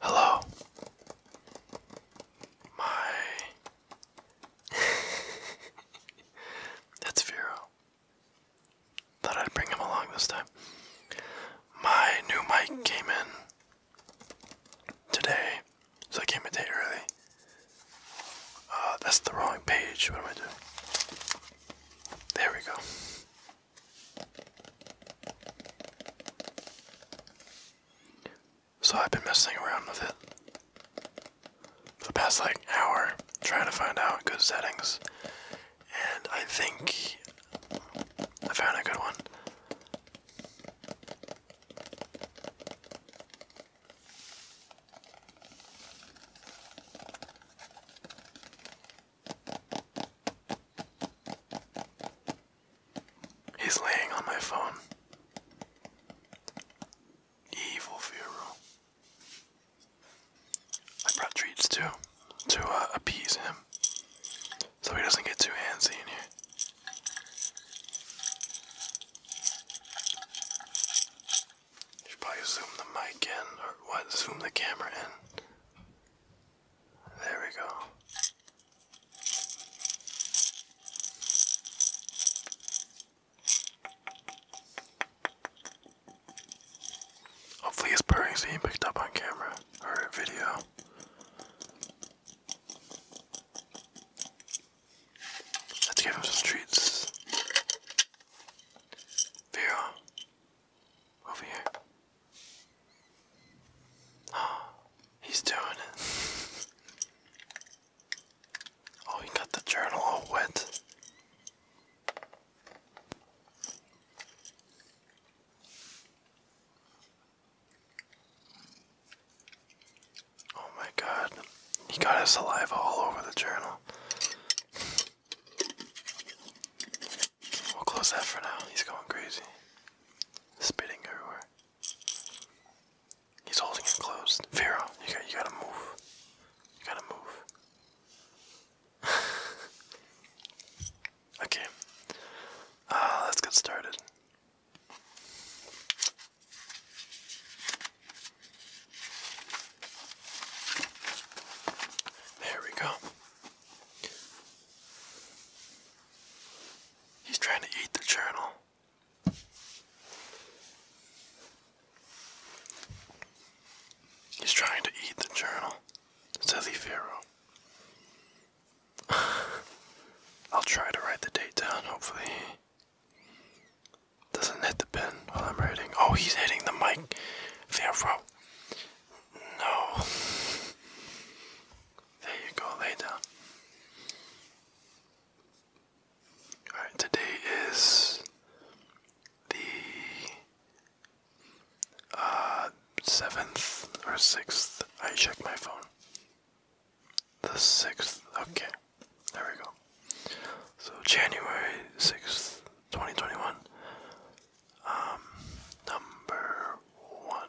Hello. My. That's Vero. Thought I'd bring him along this time. My new mic came in today, so I came a day early. Uh, that's the wrong page. What am I doing? There we go. So I've been messing around with it for the past like hour, trying to find out good settings, and I think I found a good one. He's laying on my phone. Evil Firo. I brought treats too, to uh, appease him, so he doesn't get too handsy in here. Should probably zoom the mic in, or what? Zoom the camera in. There we go. Hopefully his purring's being picked up on camera or video. Let's give him some treats. Vera, over here. Oh, he's doing it. oh, he got the journal all wet. Oh my god, he got his saliva all over the journal. We'll close that for now. He's going crazy. Spitting everywhere. He's holding it closed. Vero, you got you gotta move. You gotta move. okay. Uh, let's get started. There we go. He's trying to eat the journal. He's trying to eat the journal, says Pharaoh. I'll try to write the date down, hopefully. Doesn't hit the pen while I'm writing. Oh, he's hitting the mic. Therefore, no. There you go, lay down. Alright, today is the 7th uh, or 6th. I check my phone the 6th. Okay, there we go. So, January 6th, 2021. Um, number one.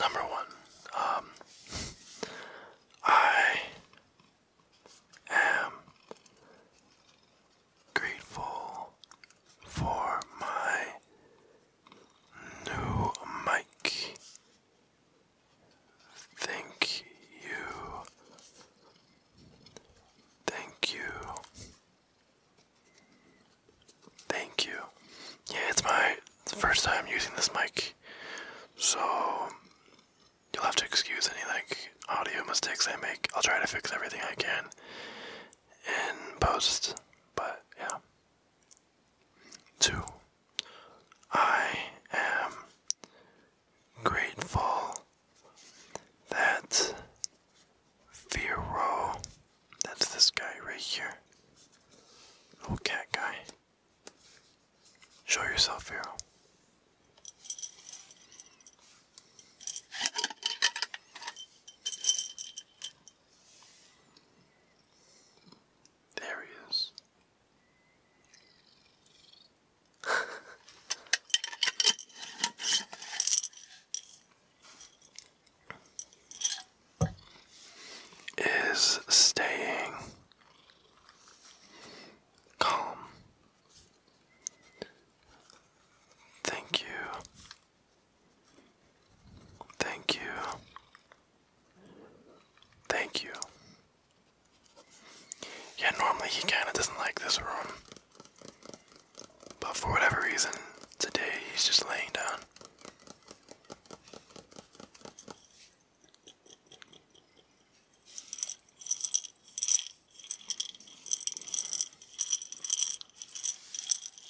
Number one, um, I am grateful for my new mic. Thank you. Thank you. Thank you. Yeah, it's my first time using this mic, so you'll have to excuse any like audio mistakes I make. I'll try to fix everything I can in post. But yeah. Two, I am grateful that Vero, that's this guy right here, little cat guy. Show yourself, Vero. There he is. is staying calm. Thank you Thank you. Thank you. Yeah, normally he kind of doesn't like this room. But for whatever reason, today he's just laying down.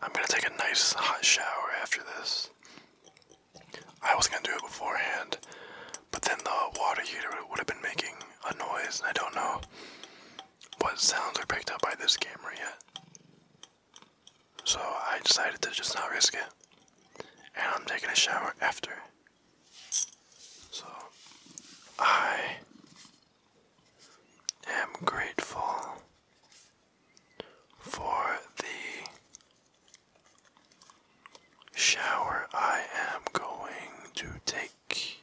I'm gonna take a nice hot shower after this. I was gonna do it beforehand, but then the water heater would have been making a noise, and I don't know what sounds are picked up by this camera yet. So I decided to just not risk it, and I'm taking a shower after. So I am grateful for the shower I am going to take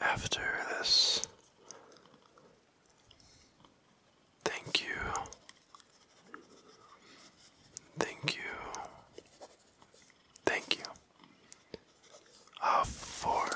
after this. Thank you. Thank you. Thank you of four.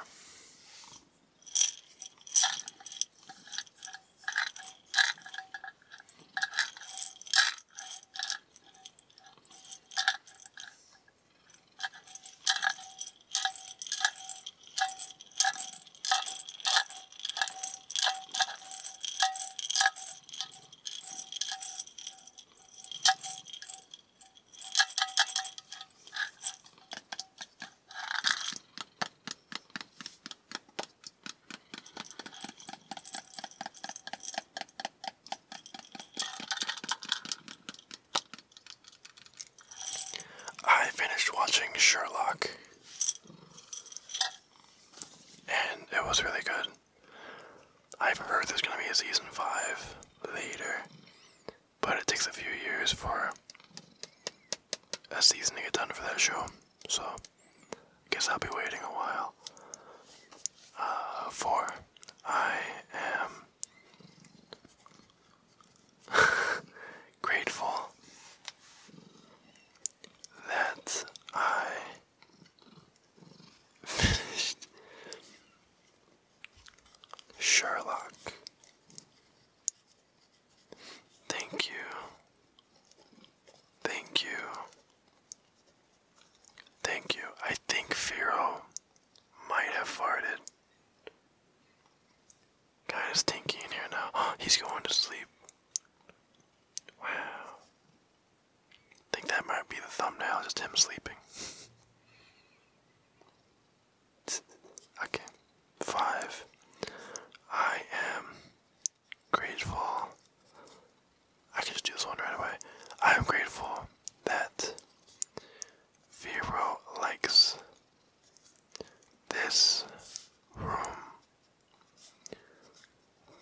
I finished watching Sherlock, and it was really good. I've heard there's gonna be a season 5 later, but it takes a few years for a season to get done for that show. So, I guess I'll be waiting a while. Uh, I am grateful that I finished Sherlock. Thank you. Thank you. Thank you. I think Firo might have farted. Kind of stinky in here now. he's going to sleep. Wow. think that might be the thumbnail, just him sleeping. Okay. Five. I am grateful. I can just do this one right away. I am grateful that Vero likes this room.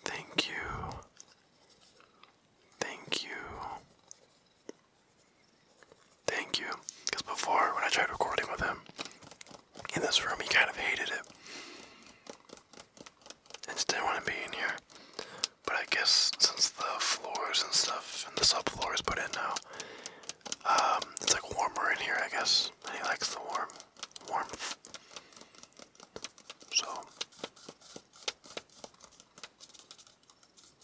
Thank you. Thank you. Thank you. Because before, when I tried recording with him in this room, he kind of hated it. And just didn't want to be in here. But I guess since the floors and stuff, and the subfloor is put in now, um, it's like warmer in here, I guess. And he likes the warm warmth. So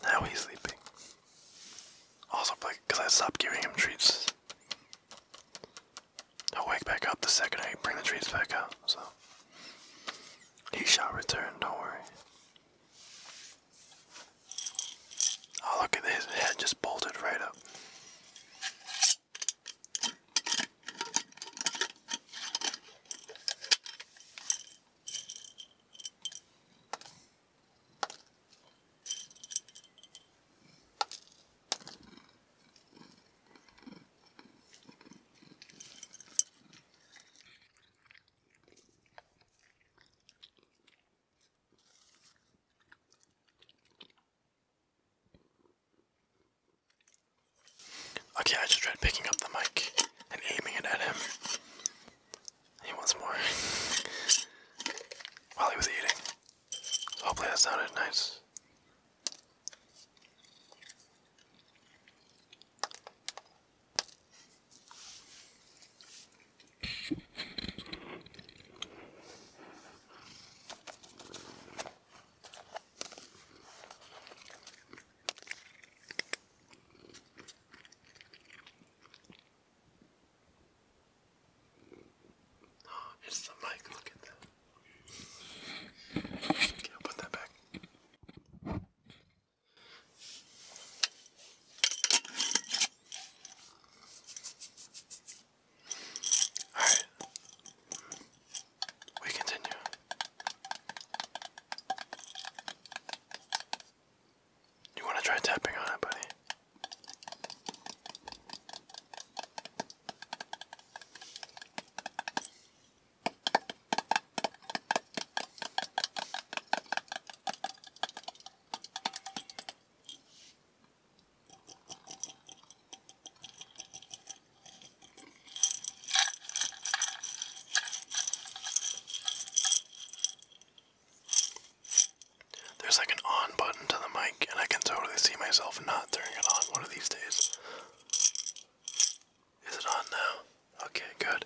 now he's sleeping. Also, because I stopped giving him treats. he wake back up the second I bring the treats back out, so. He shall return, don't worry. Oh, look at his head just bolted right up. Okay, I just tried picking up the mic and aiming it at him. He wants more while he was eating. So hopefully that sounded nice. it's the mic, look at that. Okay, i put that back. Alright. We continue. You want to try tapping on it, buddy? There's like an on button to the mic, and I can totally see myself not turning it on one of these days. Is it on now? Okay, good.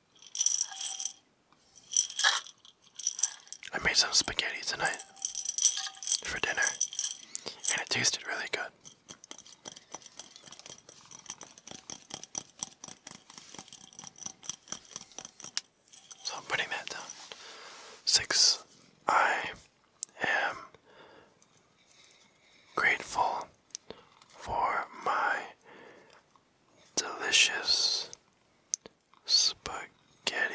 I made some spaghetti tonight for dinner, and it tasted really good. So I'm putting that down. Six, I am grateful for my delicious spaghetti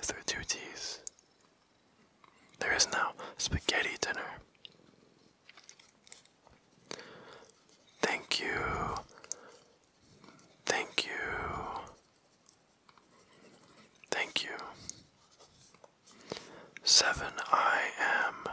through There is no spaghetti dinner. Thank you. Thank you. Thank you. Seven, I am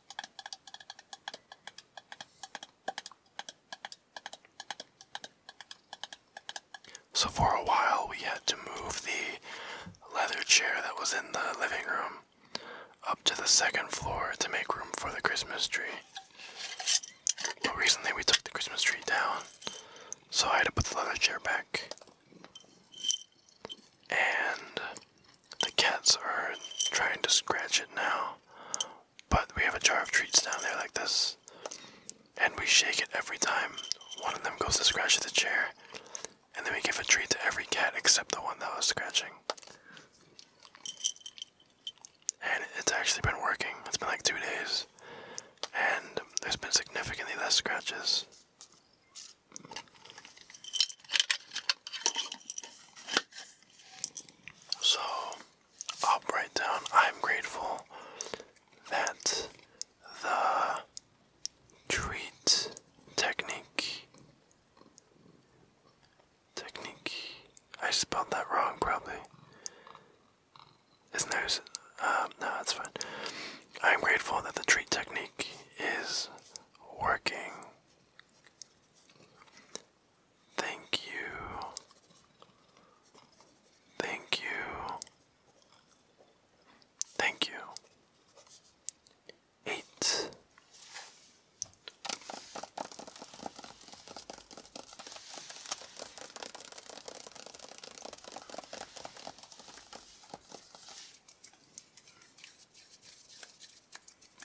So, for a while, we had to move the leather chair that was in the living room up to the second floor to make room for the Christmas tree. But recently, we took the Christmas tree down, so I had to put the leather chair back. And the cats are trying to scratch it now, but we have a jar of treats down there like this, and we shake it every time one of them goes to scratch the chair, and then we give a treat to every cat except the one that was scratching. And it's actually been working. It's been like two days, and there's been significantly less scratches. So I'll write down I'm grateful that the treat technique technique I spelled that wrong probably. Isn't no that's um, fine. I'm grateful that the treat technique is working Thank you. Thank you. Thank you. Eight.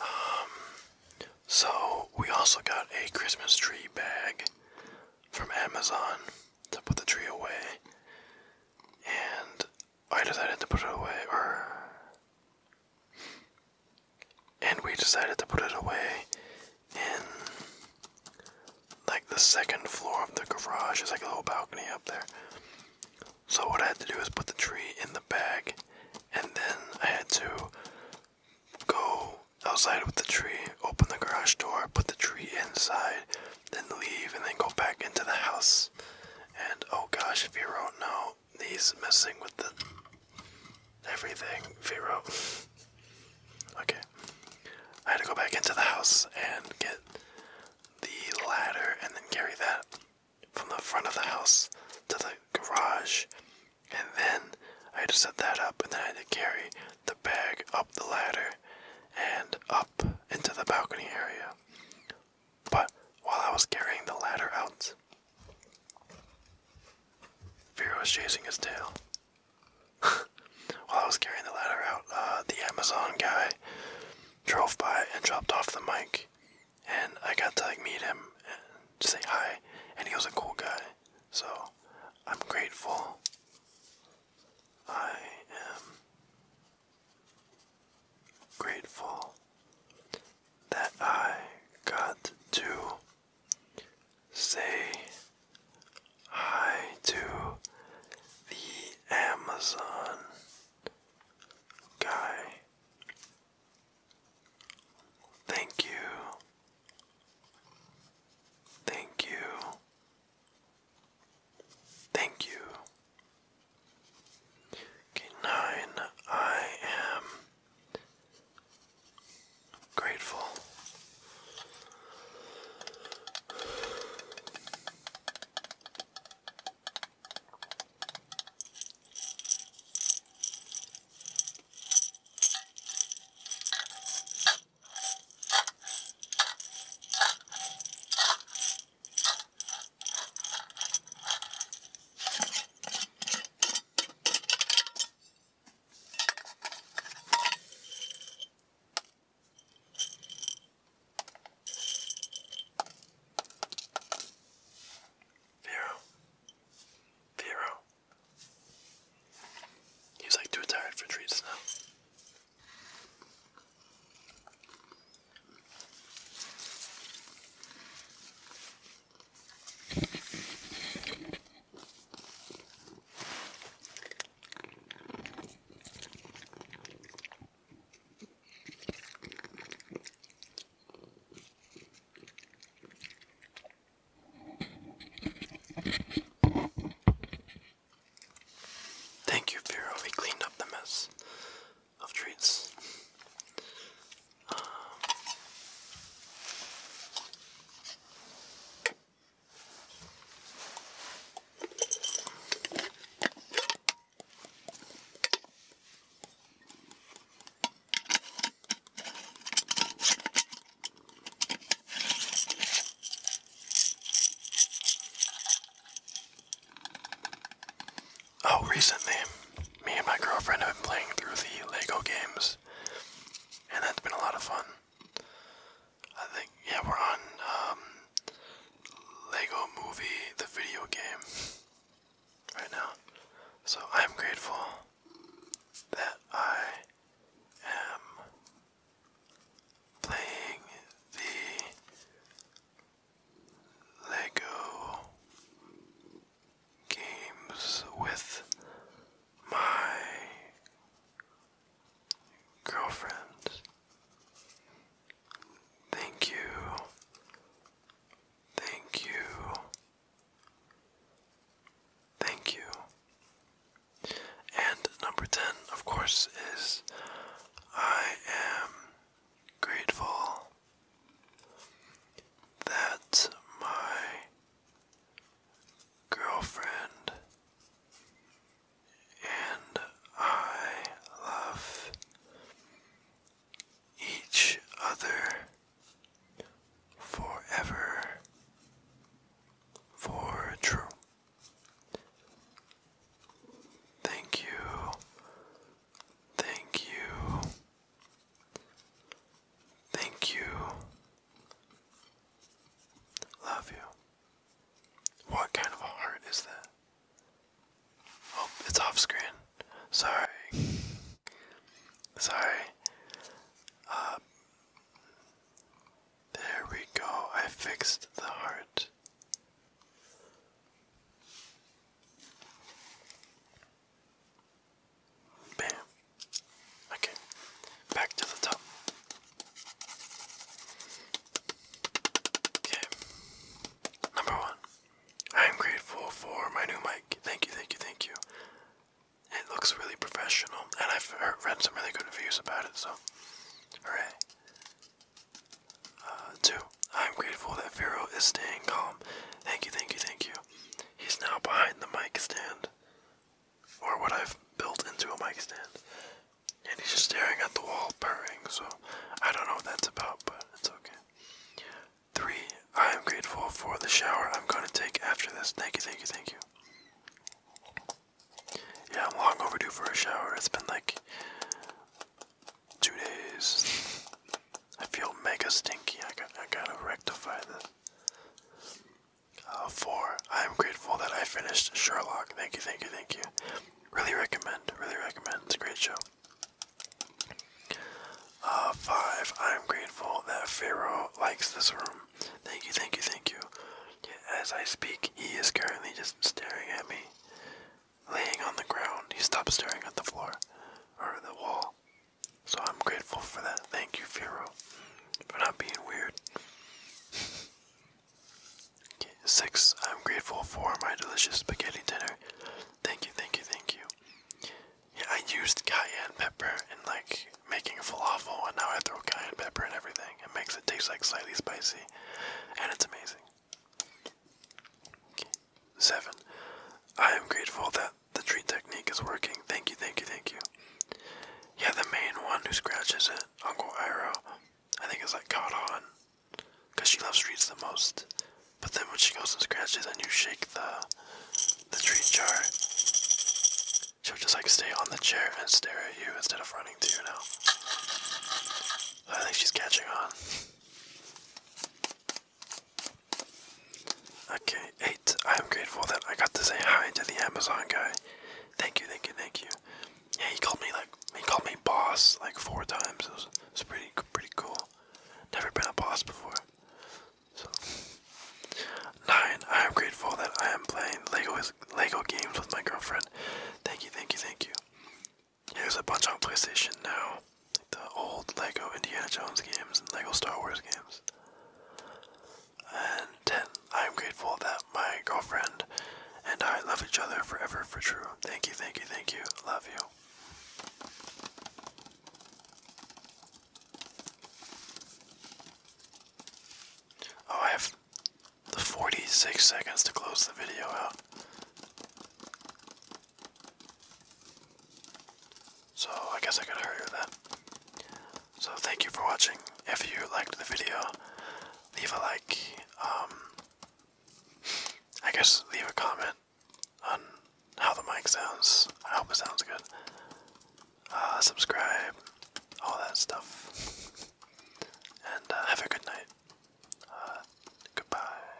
Um, so we also got a Christmas tree bag from Amazon to put the tree away, and I decided to put it away, or and we decided to put it away in like the second floor of the garage. It's like a little balcony up there. So what I had to do is put the tree in the bag and then I had to go outside with the tree, open the garage door, put the tree inside, then leave and then go back into the house. And oh gosh, if you don't know, he's messing with the everything, Vero. okay. I had to go back into the house and get the ladder and then carry that from the front of the house to the garage. And then I had to set that up and then I had to carry the bag up the ladder and up into the balcony area. But while I was carrying the ladder out, Fear is chasing his tail. While I was carrying the ladder out, uh, the Amazon guy drove by and dropped off the mic, and I got to like meet him and say hi. And he was a cool guy, so I'm grateful. I am grateful that I got to Say hi to the Amazon guy. Thank you. Thank you. Thank you. Okay, nine. I am grateful. Vero. Vero. He's like too tired for treats now. Thank you, Vero. We cleaned up the mess of treats. Oh, recently, me and my girlfriend have been playing through the Lego games and that's been a lot of fun. I think yeah, we're on um, Lego Movie, the video game, right now. So I'm grateful that I am playing the Lego games with my girlfriend. Thank you. Thank you. Thank you. And number 10, of course, is I am grateful that my girlfriend, and I love each other forever for true. Thank you, thank you, Thank you. Love you. What kind of heart is that? Oh, it's off screen. Sorry. Sorry. Uh, there we go. I fixed the heart. Bam. Okay, back to the top. Okay, number one. I am grateful for my new mic. Thank you, thank you, thank you. It looks really professional, and I've read some really good reviews about it, so. Alright. Uh, two. I'm grateful that Vero is staying calm. Thank you, thank you, thank you. He's now behind the mic stand, or what I've built into a mic stand, and he's just staring at the wall, purring. So I don't know what that's about, but it's okay. Three. I am grateful for the shower I'm going to take after this. Thank you, thank you, thank you. Yeah, I'm long overdue for a shower. It's been like two days. I feel mega stinky. I, got, I gotta rectify this. Uh, four. I am grateful that I finished Sherlock. Thank you, thank you, thank you. Really recommend. Really recommend. It's a great show. Uh, five. I am grateful that Pharaoh likes this room. Thank you, thank you, thank you. As I speak, he is currently just staring at me, laying on the ground. He stopped staring at the floor or the wall. So I'm grateful for that. Thank you, Firo, for not being weird. Okay, six, I'm grateful for my delicious spaghetti dinner. Thank you, thank you, thank you. Yeah, I used cayenne pepper in like making falafel, and now I throw cayenne pepper in everything. It makes it taste like slightly spicy, and it's amazing. Okay. Seven, I am grateful that the treat technique is working. Thank you, thank you, thank you. Yeah, the main one who scratches it, Uncle Iro, I think it's like caught on. Cause she loves treats the most. But then when she goes and scratches and you shake the the treat jar, she'll just like stay on the chair and stare at you instead of running to you now. I think she's catching on. Okay, eight. I am grateful that I got to say hi to the Amazon guy. Thank you, thank you, thank you. Yeah, he called me like he called me boss like four times. It was, it pretty pretty cool. Never been a boss before. So nine. I am grateful that I am playing Lego Lego games with my girlfriend. Thank you, thank you, thank you. Here's a bunch on PlayStation now the old Lego Indiana Jones games and Lego Star Wars games. And I'm grateful that my girlfriend and I love each other forever for true. Thank you, thank you, thank you. Love you. Oh, I have the 46 seconds to close the video out. So I guess I got hurry with that. So thank you for watching. If you liked the video, leave a like. Um, I guess leave a comment on how the mic sounds. I hope it sounds good. Uh, subscribe, all that stuff. And uh, have a good night. Uh, goodbye.